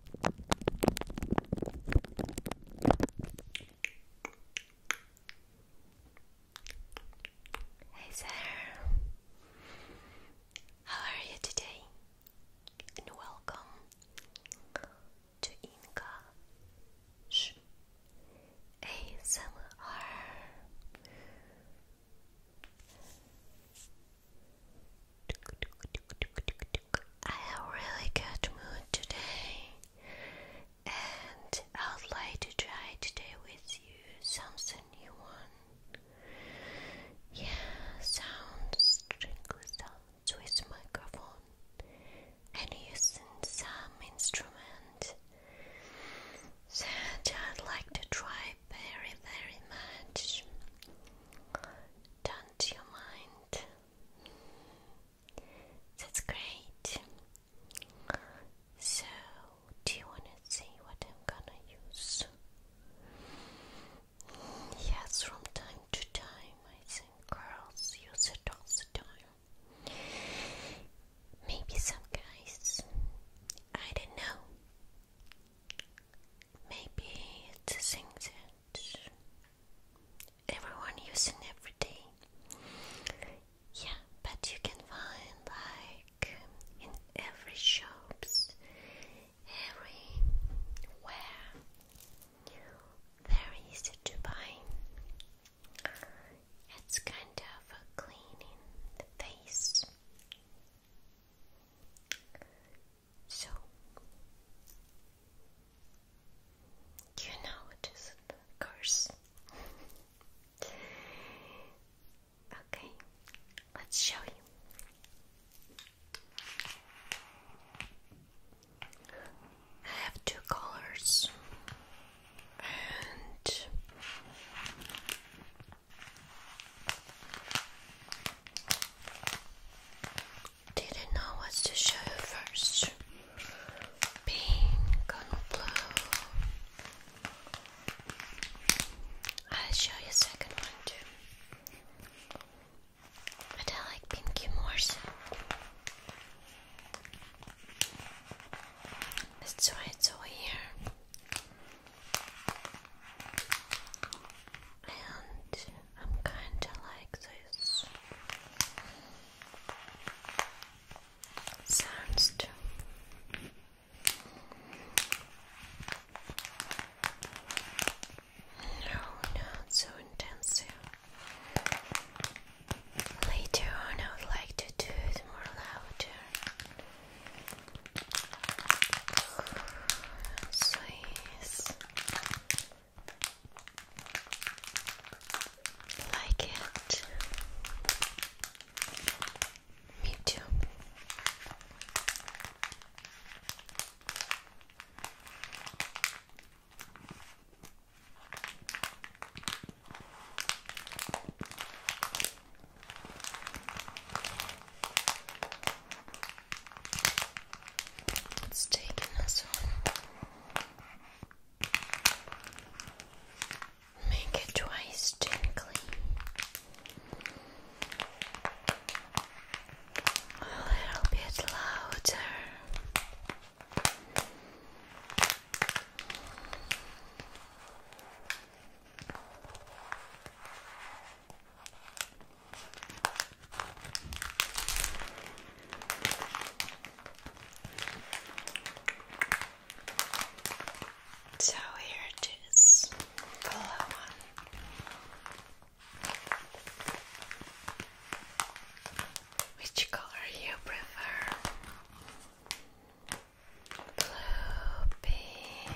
Hey there, how are you today? And welcome to English ASMR. I have a really good mood today, and I would like to try today with you something new one. Yeah, sounds, interesting. sounds with microphone, and use some instrument that I'd like to try very, very much. Don't you mind? That's great. So, do you want to see what I'm gonna use? Yes, from time to time, I think girls use it all the time. Maybe some guys. I don't know. Maybe it's a thing that everyone using every day. Yeah, but you can find like in every shops, everywhere. Very easy to buy. It's kind of a cleaning the face. So, you know it is a curse. okay, let's show you. I have two colors and didn't know what to show you first. Pink on blue. I'll show you second one too. But I like pinky more That's why it's over here. And I'm kinda like this. Sounds too. No, not so intensive. Later on, I would like to do it more louder. Please like it. Me too. Let's take another one. Make it twice gently. A little bit louder. So here it is, color one. Which color you prefer? Blue, pink,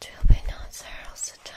Two big knots there also time.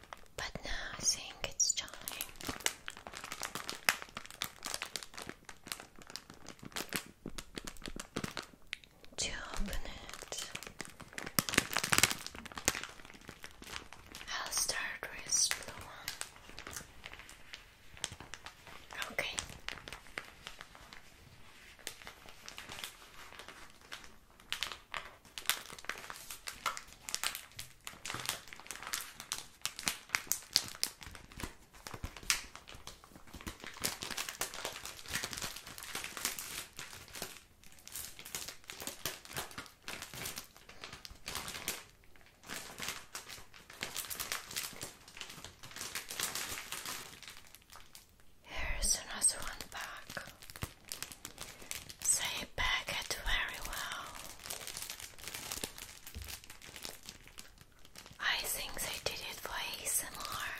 But now I think it's time. To open it, I'll start with blue one. Okay. Here is another one back. They pack it very well. I think they did it for ASMR.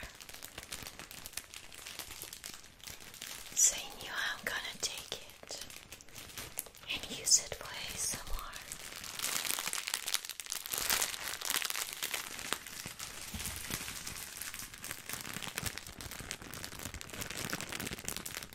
They knew I'm gonna take it and use it for ASMR.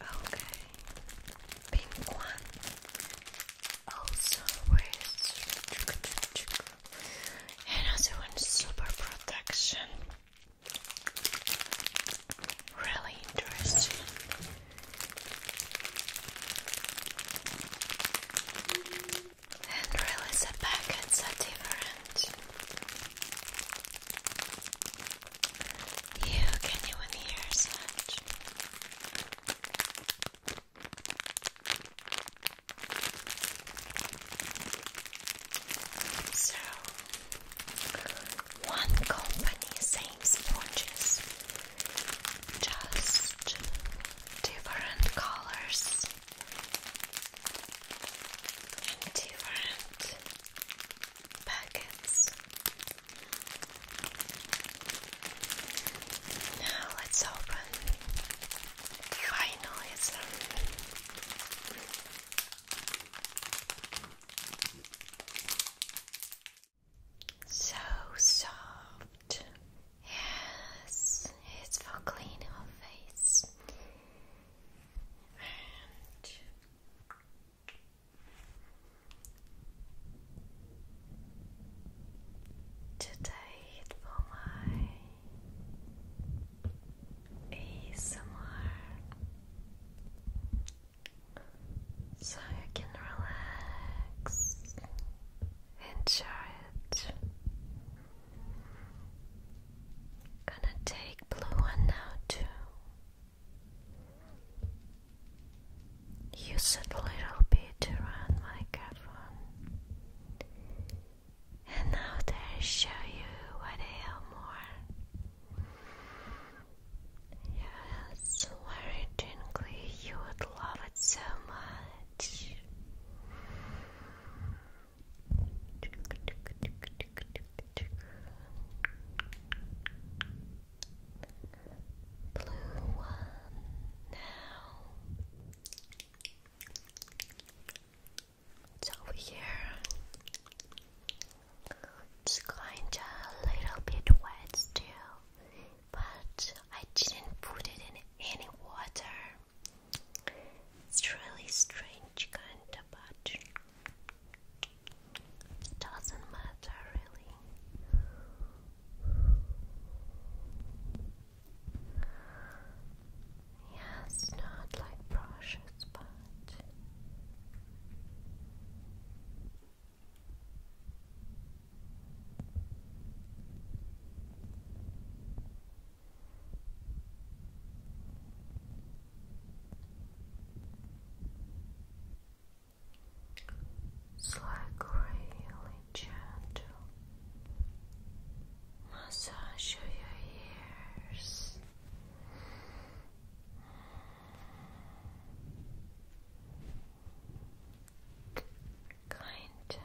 Okay, pink one also with another one super protection. Really interesting. And really the packets are different. You can even hear such. So, one company same sponges, just different colors and different packets. Now let's open. Finally, it's so soft. Yes, it's for cleaning our face. Today for my ASMR so you can relax, enjoy it. Gonna take blue one now too. Use it a little bit around my microphone. And now they show you what I am more. Yes, very gently, you would love it so much blue one now. It's over here. It's kinda a little bit wet still, but I didn't put it in any water. It's really strange, kinda, but it doesn't matter really. Yeah, not like brushes, but it's like really gentle massage of your ears. Kind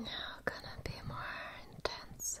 now gonna be more intense.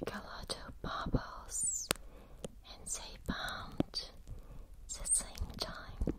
Like a lot of bubbles, and they bound at the same time.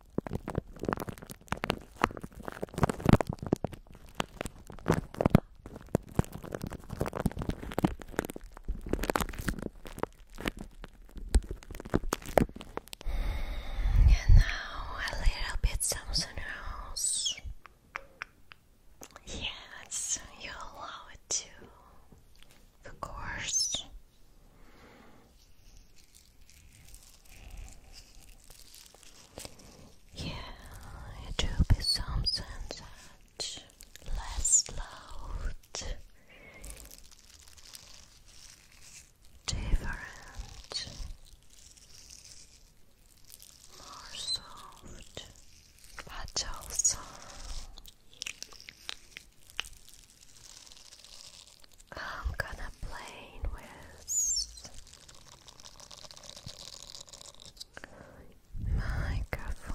And now a little bit something else. Yes, you allow it to, of course. Yeah, it will be something that less loud, different, more soft, but also I'm gonna play with microphone.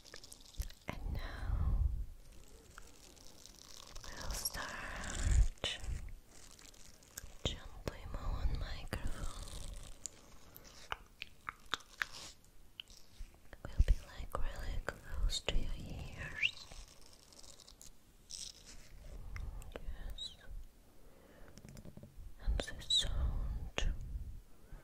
And now we'll start gently moving microphone. We'll be like really close to your ears. Yes. And the sound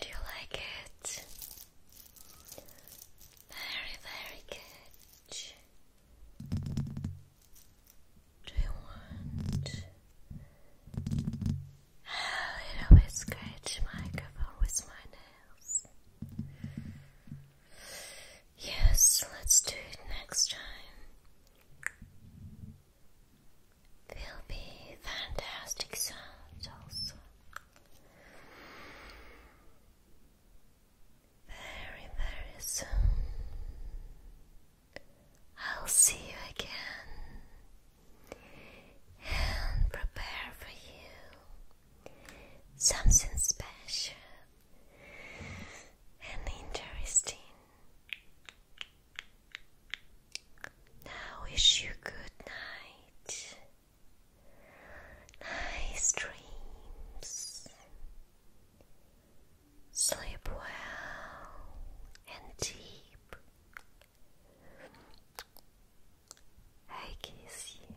Do you like it? Very, very good. Do you want a little scratch microphone with my nails? Yes, let's do it next time. Will be fantastic sounds Very, very soon. I'll see you again and prepare for you something special and interesting. Now wish you good night. Nice dreams. Sleep well and deep. I kiss you.